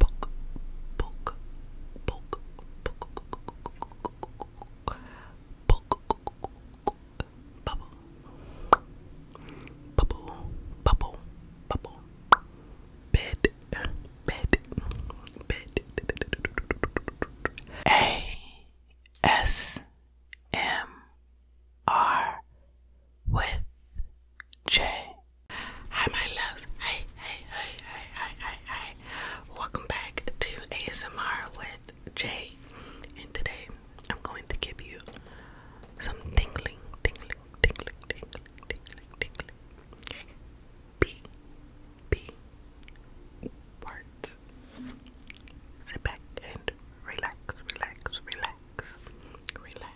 Poke, poke, poke, poke, poke, bubble, bubble, bubble, bubble, bed, bed, bed, A S M R with J. Hi my loves. Hey, hey, hey, hey, hey, hey, Welcome back to ASMR with Jay. And today I'm going to give you some tingling, tingling, tingling, tingling, tingling, tingling. B B words. Sit back and relax, relax, relax, relax.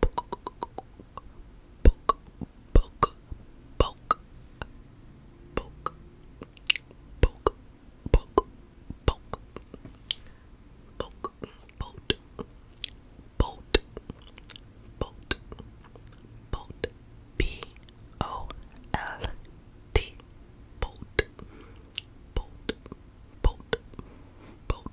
poke, poke, poke, poke, poke, poke, poke, poke, boat, boat, boat, boat, b o l t, boat, boat, boat, boat,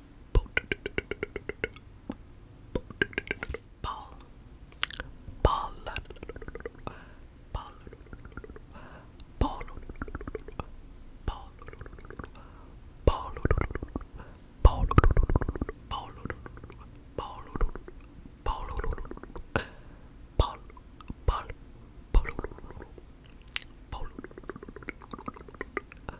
Ball. Ball. Ball. Ball. Ball. Ball. Ball. Ball. Ball. Ball. Ball. Ball. Ball. Ball.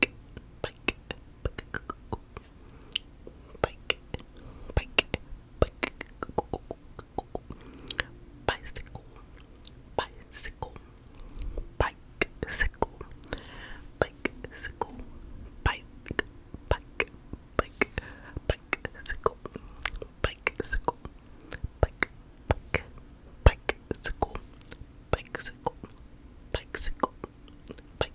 bike, bike, bike, bike, bike, bike, bicycle, bicycle, bicycle, bicycle, bike, bike, bike, bicycle, bicycle, bike, bike, bicycle, bicycle, bicycle, bicycle,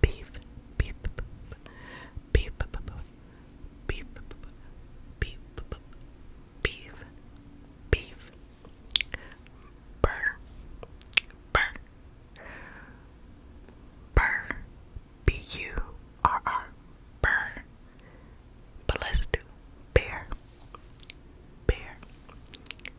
beef, beef, beef, beef, beef, beef, beef, burr, burr, burr, b-u-r-r, burr, but let's do bear, bear,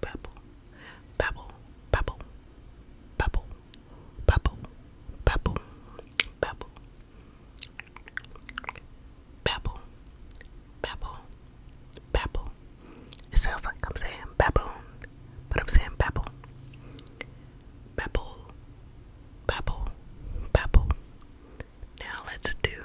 babble, babble, babble, babble, babble, babble, babble, babble, babble, babble, babble. It sounds like I'm saying baboon, but I'm saying babble. Babble, babble, babble. Now let's do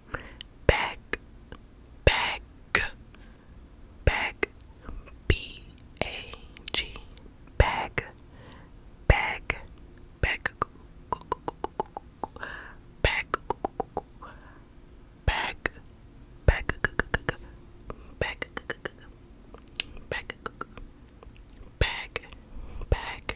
back, back, back, B A G, back, back, back, back, back, back, back, back, back, back,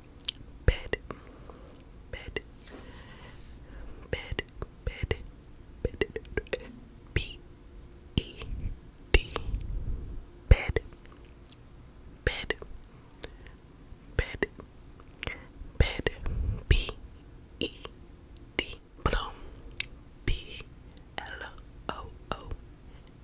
bed, bed, bed, bed, bed, b e d, bed, bed, bed, bed, b e d, bloom, b l o o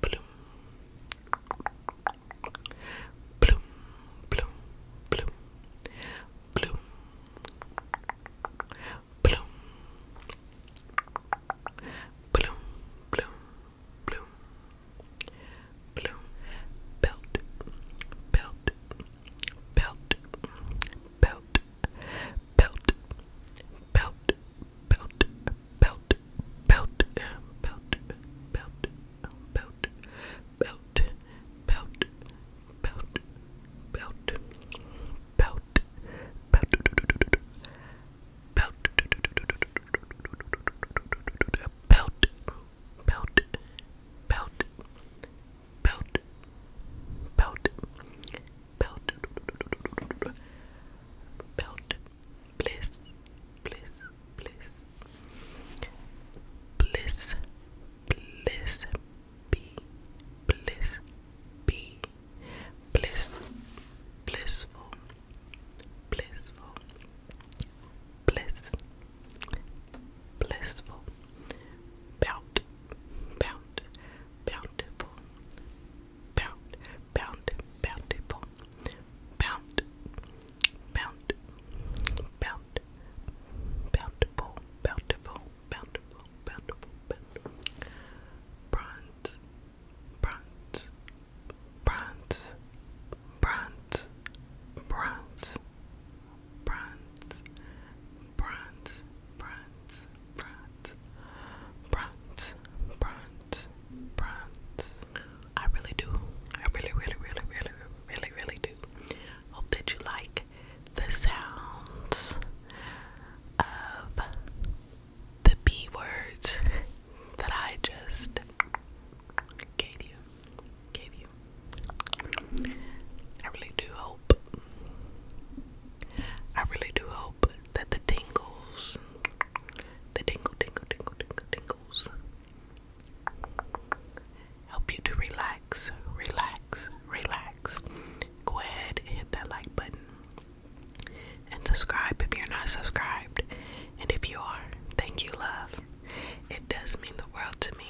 Bloom. Bloom, bloom, bloom, bloom, bloom, bloom, bloom, bloom, bloom, belt, belt, belt, belt, belt, belt, belt, belt, belt, belt, belt, belt, belt, belt, belt, belt, belt, belt, belt, belt, belt, belt, belt, belt, belt, belt, belt, bliss, bliss, bliss, bliss, bliss, be, bliss, be, bliss, blissful, blissful, bliss, blissful, bout, bout, bountiful bound, bound, bound, bound, bound, bountiful, bountiful, bountiful, bountiful, bountiful, bronze, bronze, bronze, bronze, bronze, bronze, bronze, bronze, bronze, bronze, bronze, bronze. I really do. I really, really, really, really, really, really do. Hope that you like the sounds of the B words that I just gave you. Gave you. I really do hope I really do hope that the tingles, the tingle, tingle, tingle, tingle, tingles, help you to relax, relax, relax. Go ahead and hit that like button and subscribe if you're not subscribed. And if you are, thank you, love. It does mean the world to me.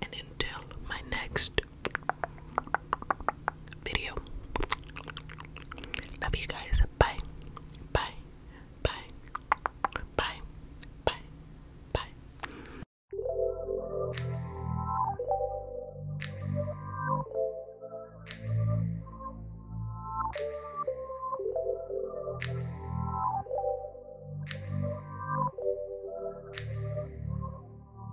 And until my next video. Love you guys. Bye. Bye. Bye. Bye. Bye. Bye.